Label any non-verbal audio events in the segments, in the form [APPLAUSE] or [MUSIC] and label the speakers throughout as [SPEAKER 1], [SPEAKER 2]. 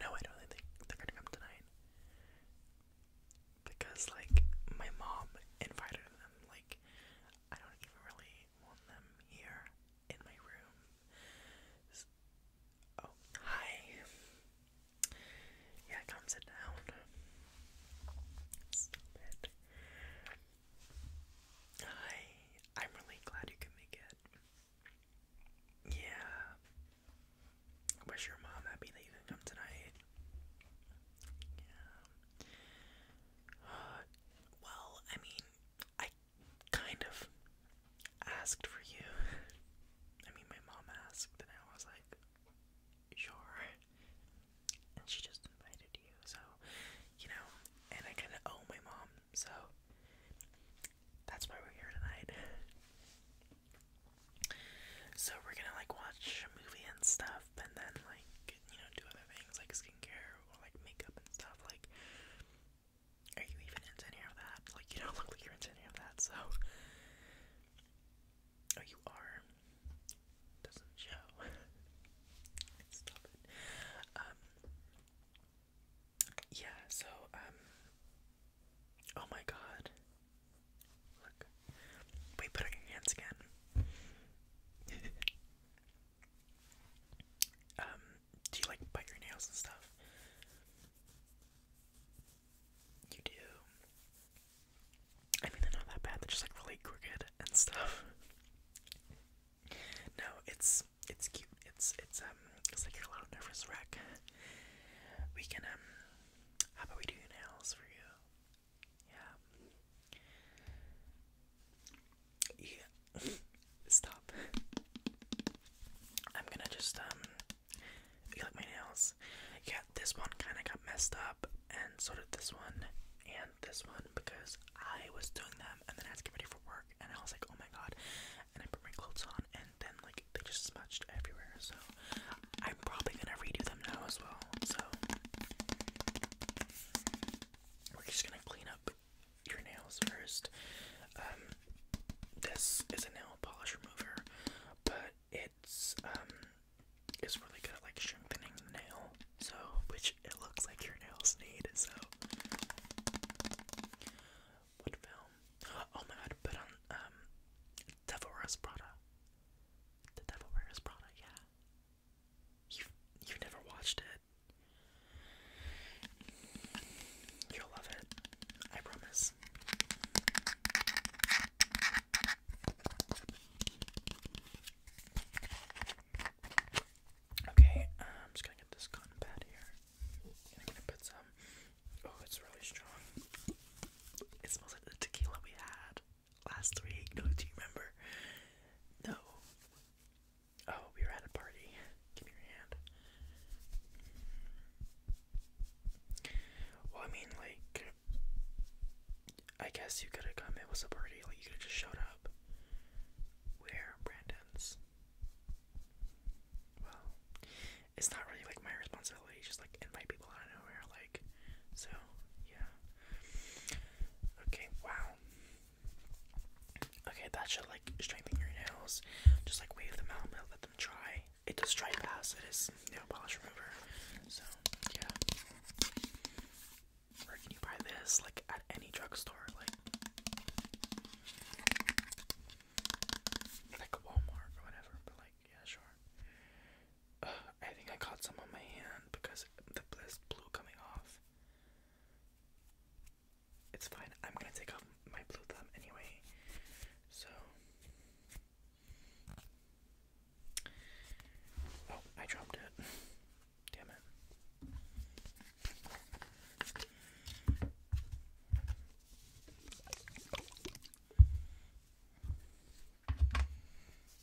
[SPEAKER 1] No, I don't really think they're gonna come tonight. Because like my mom invited them, like I don't even really want them here in my room. oh, hi. Yeah, come sit down. Hi. I'm really glad you can make it. Yeah. Wish your mom happy that you can come tonight. Yeah. well, I mean, I kind of asked for you. [LAUGHS] I mean, my mom asked, and I was like, sure. And she just invited you, so, you know, and I kind of owe my mom, so that's why we're here tonight. So we're gonna like watch a movie and stuff, and then like you know do other things like skincare or like makeup and stuff. Like, are you even into any of that? Like, you don't [LAUGHS] look like you're into any of that. So, oh, you are. Doesn't show. [LAUGHS] Stop it. Um, yeah, so, um, oh my god. Look, we put our hands again. [LAUGHS] um, do you like bite your nails and stuff? You do. I mean, they're not that bad, they're just like really crooked and stuff. [LAUGHS] no, it's, it's cute, it's, it's, uh, it's like you're a little nervous wreck. We can, um, how about we do nails for you? Yeah. Yeah. [LAUGHS] Stop. I'm gonna just, um, you like my nails? Yeah, this one kind of got messed up, and so did this one, and this one, because I was doing them, and then I had to get ready for work, and I was like, oh my god, and I put my clothes on, and then like they just smudged everywhere. So I'm probably gonna redo them now as well. So we're just gonna clean up your nails first. Um, this is a nail polish remover, but it's um it's really good like strengthening the nail. So which it looks like your nails need. So what film? Oh my god, put on um Devil Wears Prada. The Devil Wears Prada, yeah. You you never watched it. You'll love it. I promise. Okay, I'm just gonna get this cotton pad here. I'm gonna put some Oh, it's really strong. It smells like the tequila we had last week. No, do you remember? No. Oh, we were at a party. Give me your hand. Well, I mean, like, I guess you could have come. It was a party. Like, you could have just showed up. Where, Brandon's? Well, it's not really like my responsibility just like invite people out of nowhere like so yeah okay wow okay that should like strengthen your nails just like wave them out and let them dry it does dry fast it is nail polish remover so yeah where can you buy this like at any drugstore like like Walmart or whatever, but like, yeah, sure. I think I caught some on my hand because the blist blue coming off. It's fine. I'm gonna take off my blue thumb anyway. So, oh, I dropped it. Damn it.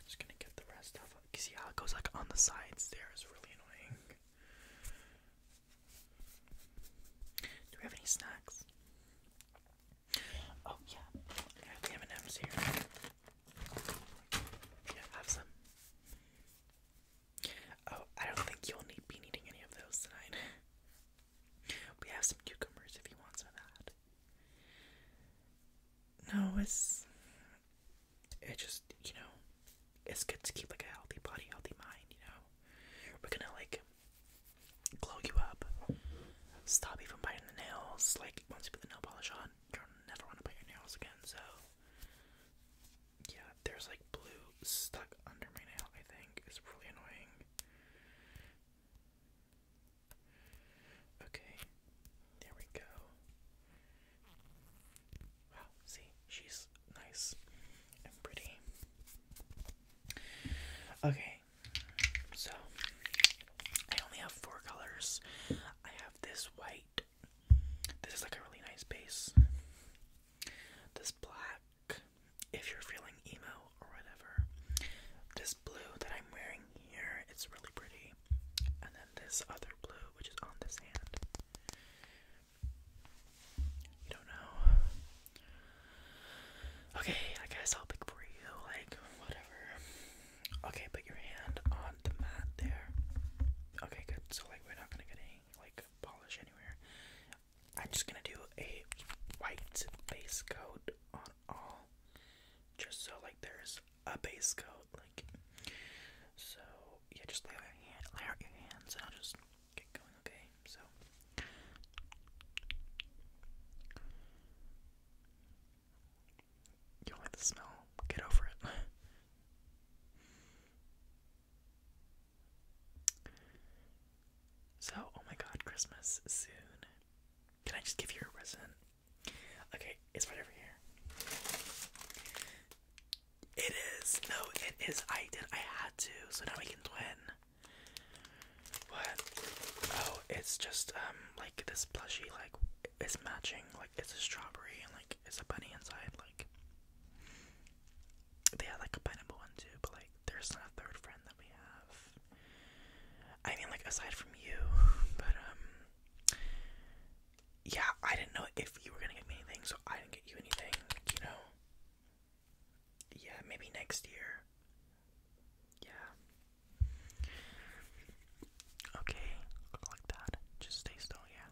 [SPEAKER 1] Just gonna get the rest off. You see how it goes like on the sides there is really annoying. Do we have any snacks? Oh yeah, we have an M's here. Yeah, have some. Oh, I don't think you'll need be needing any of those tonight. We have some cucumbers if you want some of that. No, it's it just you know, it's good to keep like a healthy body, healthy mind. You know, we're gonna like glow you up. Stop even biting the nails. Like once you put the nail polish on, you'll never want to bite your nails again. So yeah, there's like blue stuck under my nail. I think is really annoying. Okay, there we go. Wow, see, she's nice and pretty. Okay, so I only have four colors. I have this white, this is like a really nice base, this black if you're feeling emo or whatever. This blue that I'm wearing here, it's really pretty. And then this other blue, which is on this hand. You don't know. Okay, I guess I'll pick for you, like, whatever. Okay, put your hand on the mat there. Okay, good. So, like, we're not gonna get any, like, polish anywhere. I'm just gonna do a white base coat on all, just so like there's a base coat, like. So yeah, just lay out your, hand, lay out your hands, and I'll just get going. Okay, so. You like the smell? Get over it. [LAUGHS] So, oh my god, Christmas soon. Can I just give you a present? Okay, it's right over here. It is. No, it is. I did. I had to. So now we can twin. What? Oh, it's just um like this plushie. Like it's matching. Like it's a strawberry and like it's a bunny inside. Like they had like a pineapple one too, but like there's not a third friend that we have. I mean, like aside from you, but um, yeah, I didn't know if you were gonna get me anything, so I didn't get you anything. You know? Yeah, maybe next year. Yeah. Okay, like that. Just stay still, yeah.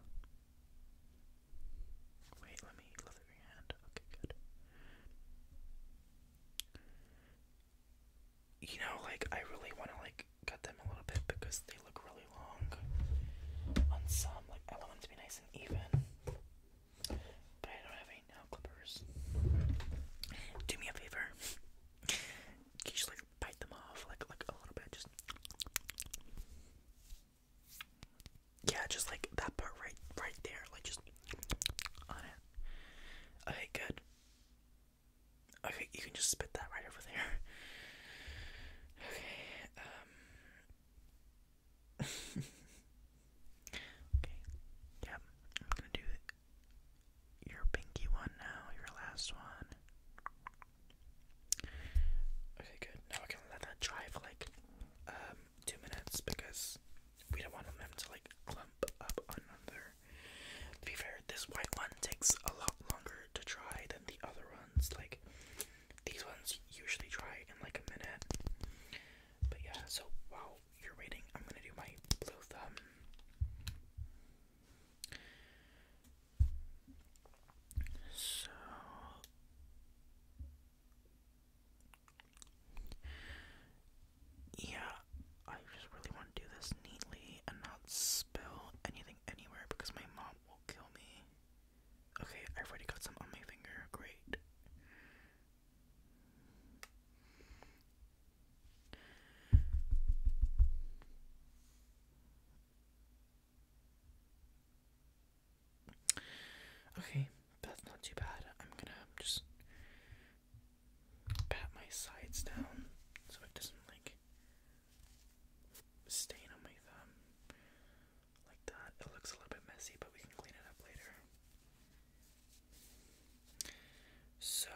[SPEAKER 1] Wait, let me look at your hand. Okay, good. You know, like I really want to like cut them a little bit because they look really long. On some, like I want them to be nice and even, but I don't have any nail clippers. Do me a favor. Can you like bite them off, like like a little bit, just. Yeah, just like that part right right there, like just on it. Okay, good. Okay, you can just spit that right over there. Okay, um. [LAUGHS] Okay. Yep, I'm gonna do your pinky one now, your last one. Okay, good. Now I can let that dry for like um, two minutes because we don't want them to like clump up on another. To be fair, this white one takes a lot longer to dry than the other ones. Like these ones usually dry in like a minute. But yeah, so while you're waiting, I'm gonna do my blue thumb. So yeah, I just really want to do this neatly and not spill anything anywhere because my mom will kill me. Okay, i already got some on my finger. Great. Okay, that's not too bad. I'm gonna just pat my sides down so it doesn't like stain on my thumb like that. It looks a little bit messy, but we can clean it up later. So,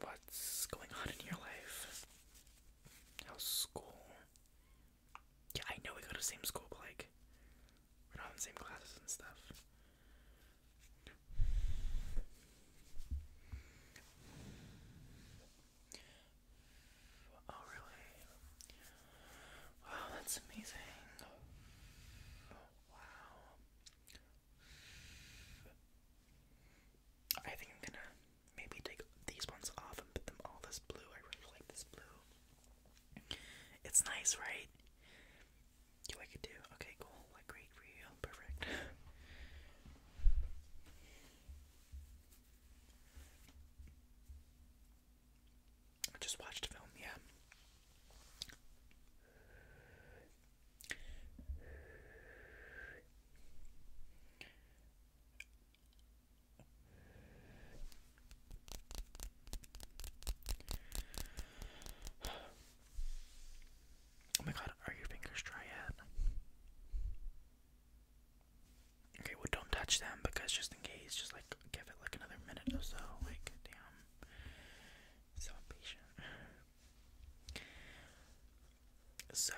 [SPEAKER 1] what's going on in your life? How's school? Yeah, I know we go to the same school, but like, we're not in the same classes and stuff. Oh, really? Wow, that's amazing. wow. I think I'm gonna maybe take these ones off and put them all this blue. I really like this blue. It's nice, right? You like it too? Okay, cool. great for Perfect. just watched a film, yeah. Oh my god, are your fingers dry yet? Okay, well don't touch them because just in case, just like give it like another minute or so. Like, damn. So impatient. So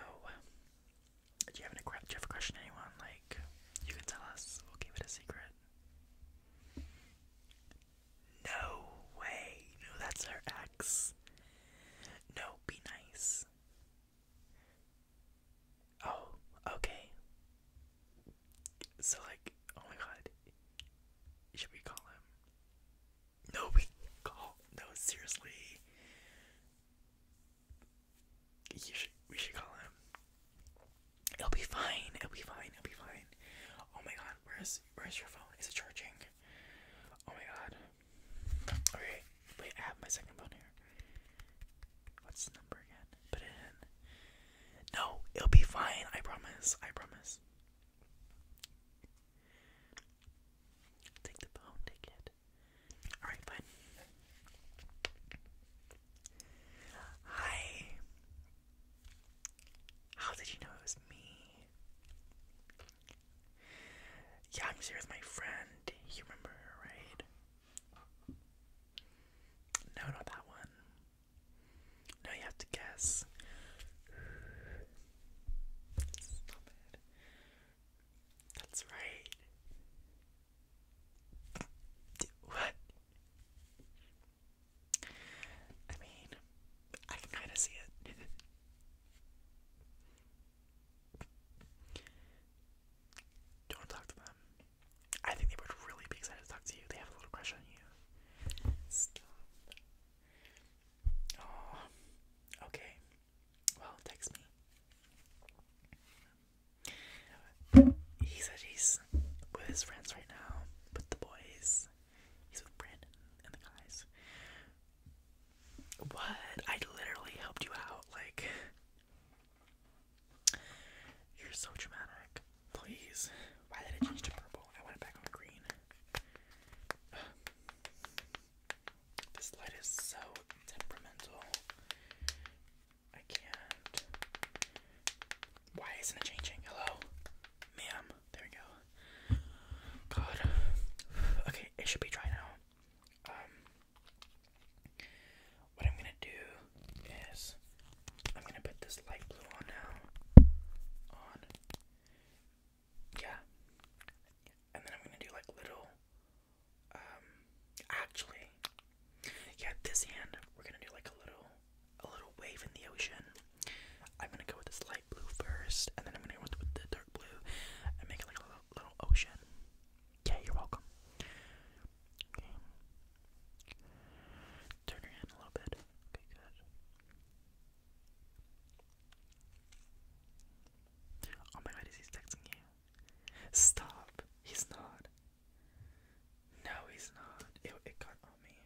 [SPEAKER 1] do you have any do you ever question anyone? Like, you can tell us. We'll keep it a secret. No way. No, that's her ex. No, be nice. Oh, okay. So like, oh my god. Should we call him? No, we call. No, seriously. You should, we should call him. It'll be fine. It'll be fine. It'll be fine. Oh my god, where's where's your phone? Is it charging? Oh my god. Okay, wait. I have my second phone here. What's the number again? Put it in. No, it'll be fine. I promise. I promise. Take the phone. Take it. Alright, fine. Hi. How did you know it was me? Yeah, I'm here with my friend. You remember right? No, not that one. No, you have to guess. Stop it. That's right. What? I mean, I can kind of see it. [LAUGHS] Don't talk to them. I think they would really be excited to talk to you. They have a little crush on you. Oh, okay. Well, text me. He said he's with his friends right now, with the boys. He's with Brandon and the guys. What? I literally helped you out. Like, you're so dramatic. Please. Why did it change to purple? I want it back on green. this light is so temperamental. I can't. Why isn't it changing? Hello? Ma'am. There we go. God. Okay, it should be dry now. Um, what I'm gonna do is I'm gonna put this light blue on now. On. Yeah. And then I'm gonna do like little um, actually, yeah, this hand we're gonna do like a little, a little wave in the ocean. I'm gonna go with this light blue first, and then I'm gonna go with the dark blue and make it like a little, ocean. Yeah, you're welcome. Turn your hand a little bit. Okay, good. Oh my god, is texting you? Stop! He's not. No, he's not. It, got on me.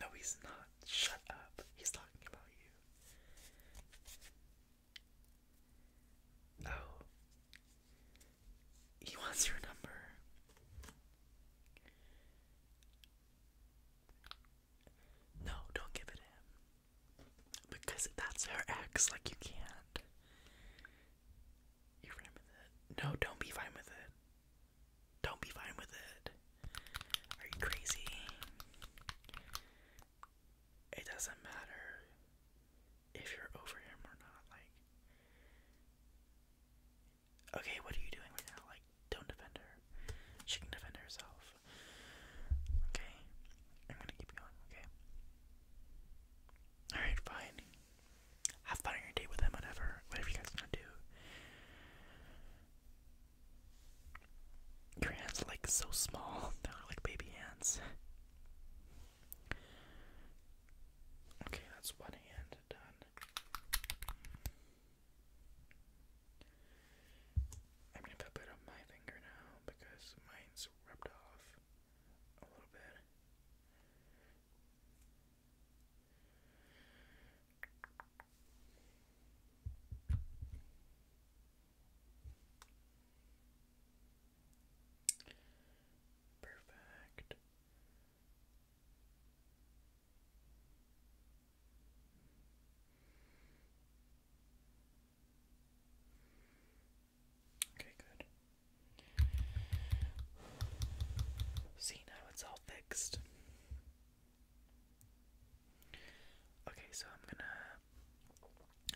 [SPEAKER 1] No, he's not. Shut up. He's talking about you. Oh. He wants your number. No, don't give it him. Because that's her ex, like you can't. You're fine with it. No, don't be fine with it. Don't be fine with it. Are you crazy? It doesn't matter if you're over him or not, like Okay, what are you doing right now? Like, don't defend her. She can defend herself. Okay? I'm gonna keep going, okay? Alright, fine. Have fun your date with them, whatever. Whatever you guys wanna do. Your hands like so small. [LAUGHS] They're like baby hands. Okay, that's one hand done. I'm gonna put on my finger now because mine's rubbed off a little bit. Perfect. Okay, good. See, now it's all fixed. Okay, so I'm gonna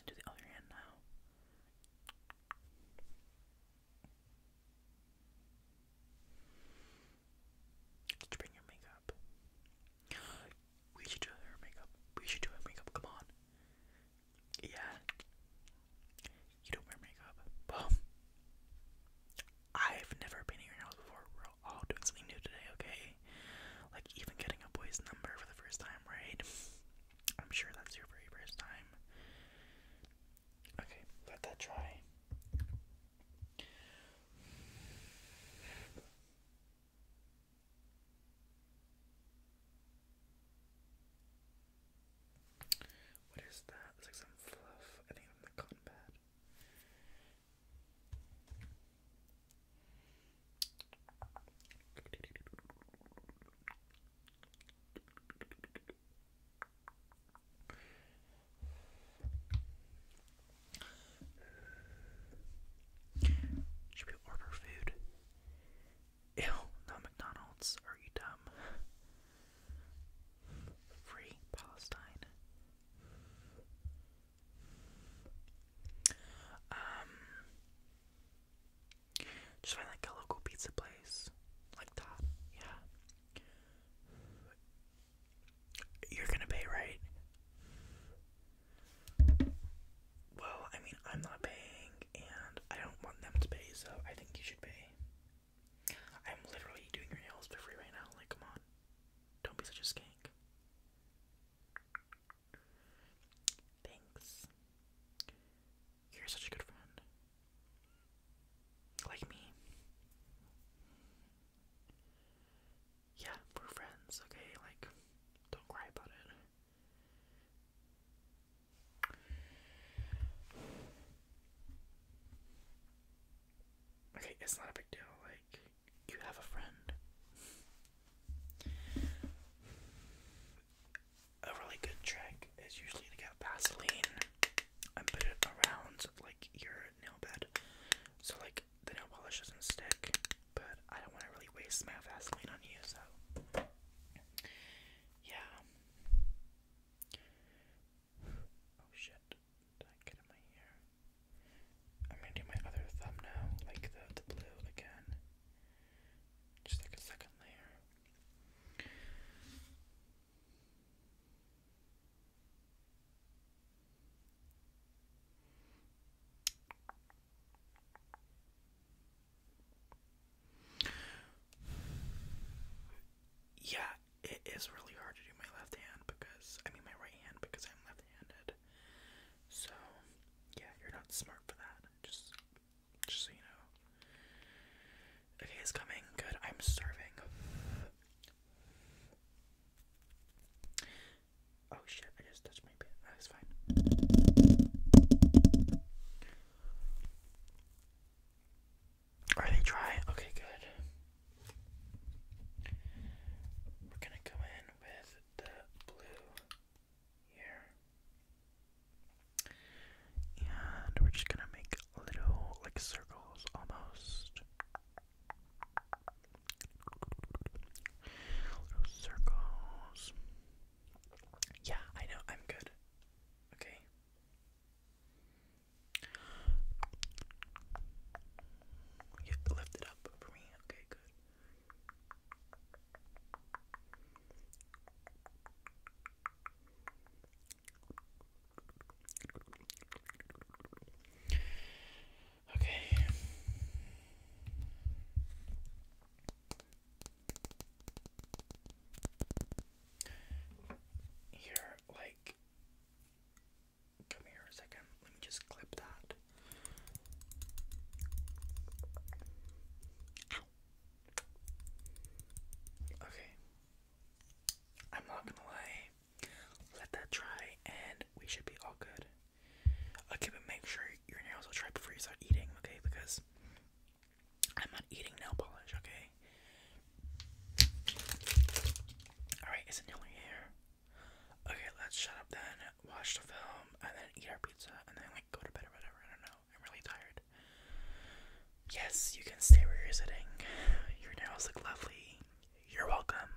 [SPEAKER 1] do the other hand now. Just bring your makeup. We should do her makeup. We should do her makeup. Come on. Yeah. You don't wear makeup. Well, I've never painted your nails before. We're all doing something new today, okay? Like even getting a boy's number for the first time, right? I'm sure that's your very first time. Okay, let that dry. What is that? It's like some fluff. I think i the cotton should we order food? Ew, not McDonald's. Are you dumb? Free Palestine. Um, just find like a local pizza place like that. Yeah. You're gonna pay, right? Well, I mean, I'm not paying, and I don't want them to pay, so I think you should pay. I'm literally doing your nails for free right now. Like, come on. Don't be such a skank. Thanks. You're such a good friend. Like me yeah, we're friends, okay? Like, don't cry about it. Okay, it's not a big deal. Like, you have a friend. A really good trick is usually to get Vaseline and put it around like your nail bed. So, like, the nail polish doesn't stick, but I don't want to really waste my Vaseline on you, so yeah. Oh shit, did I get in my ear? I'm gonna do my other thumb like the, the blue again. Just like a second layer. Yeah, it is really hard to do my left hand because I mean my right hand because I'm left-handed. So, yeah, you're not smart for that. Just just so you know. Okay, it's coming. Good. I'm starving. Oh shit, I just touched my bit. That's fine. Are they dry? Okay, good. We're gonna go in with the blue here. And we're just gonna make little like circles almost. Little circles. Yeah, I know, I'm good. Okay. You lift it up for me. Okay, good. Okay. Here, like, come here a second. Let me just clip that. Okay. I'm not gonna lie. Let that dry, and we should be all good. Okay, but make sure your nails are dry before you start eating, okay? Because I'm not eating nail polish, okay? Alright, it's nearly here. Okay, let's shut up then, watch the film, and then eat our pizza, and then like go to bed or whatever. I don't know. I'm really tired. Yes, you can stay where you're sitting. Your nails look lovely. You're welcome.